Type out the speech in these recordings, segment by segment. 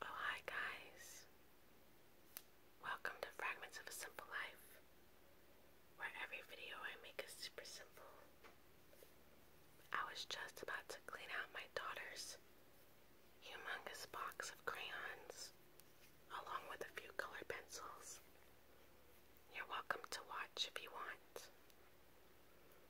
Oh, hi, guys. Welcome to Fragments of a Simple Life, where every video I make is super simple. I was just about to clean out my daughter's humongous box of crayons, along with a few color pencils. You're welcome to watch if you want.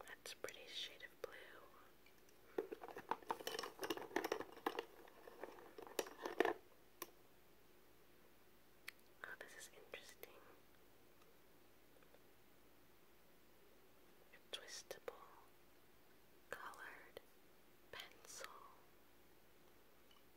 That's a pretty shade of blue. Oh, this is interesting. twistable, colored pencil.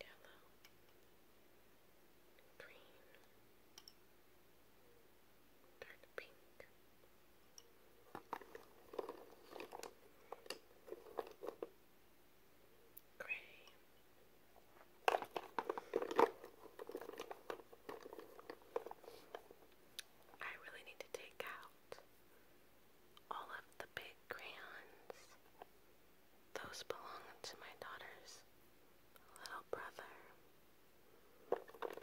yellow, green, dark pink. Gray. I really need to take out all of the big crayons those belong to my daughter's little brother. Purple.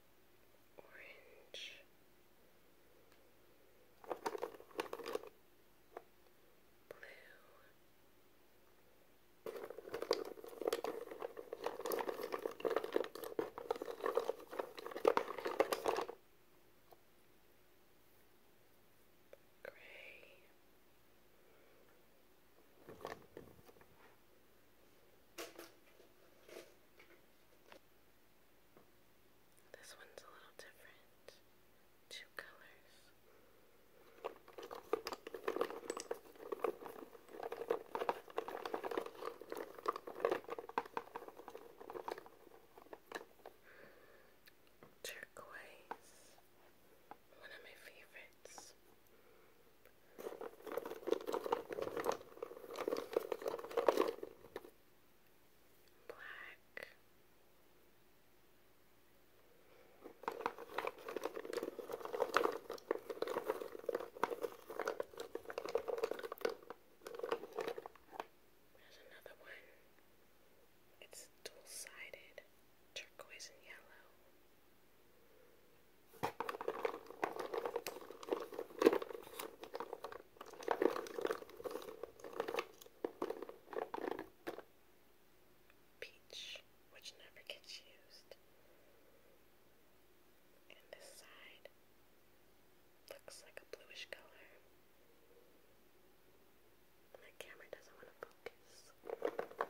orange. Blue. Gray. This one's a little different. Two colors. Turquoise, one of my favorites. Black. There's another one. It's dual sided turquoise and yellow. Peach, which never gets used. And this side looks like a bluish color. My camera doesn't want to focus.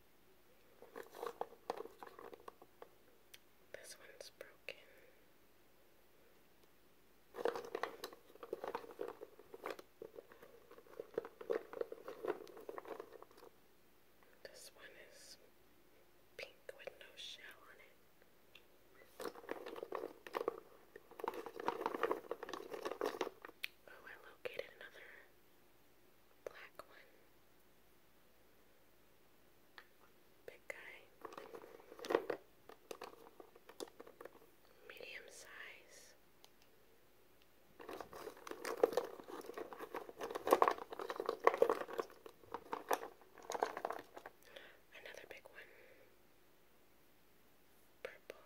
This one's broken. This one is pink with no shell on it. Oh, I located another black one. Big guy. Medium size. Another big one. Purple.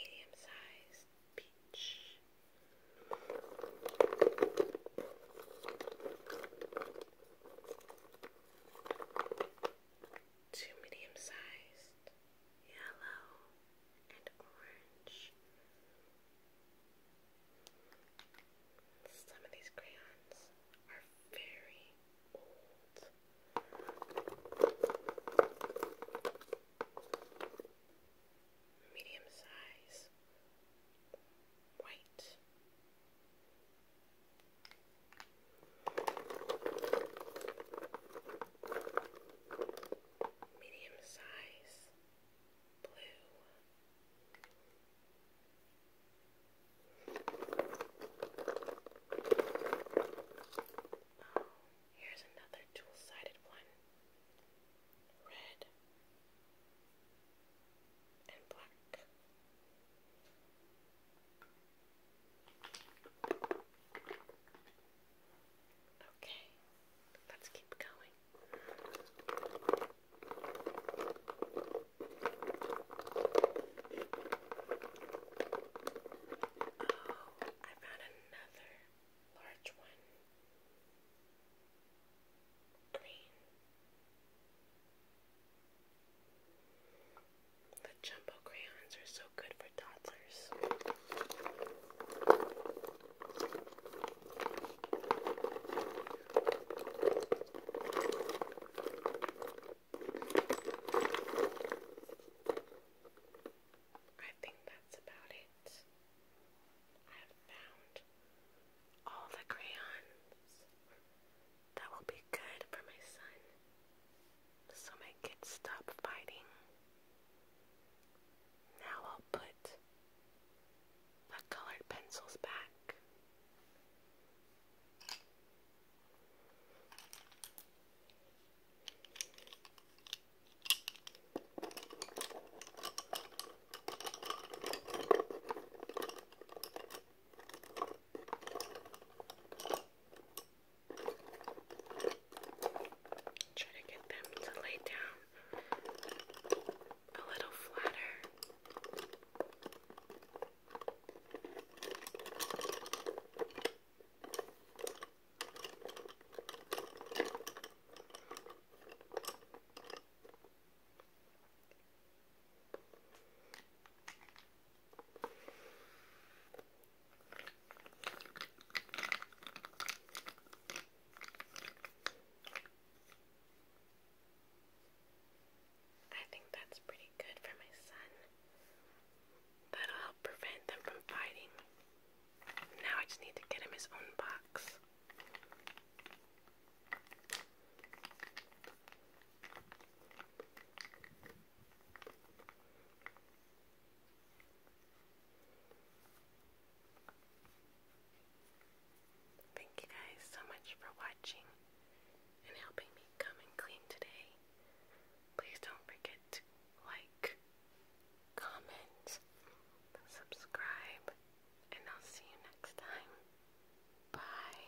Medium sized peach. Two medium sized yellow, and orange. Some of these crayons are very old. Medium size, white medium size, blue. Oh, here's another dual-sided one. Red and black. Okay, let's keep going. Oh, I found another large one. Green. The jumbo crayons are so good for toddlers. I think that's about it. I have found all the crayons that will be good for my son so my kids stop fighting. Now I'll put the colored pencils back. Try to get them to lay down a little flatter. I think that's pretty good for my son. That'll help prevent them from fighting. Now I just need to get him his own box. Thank you guys so much for watching and helping me come and clean today. Please don't forget to like, comment, subscribe, and I'll see you next time. Bye.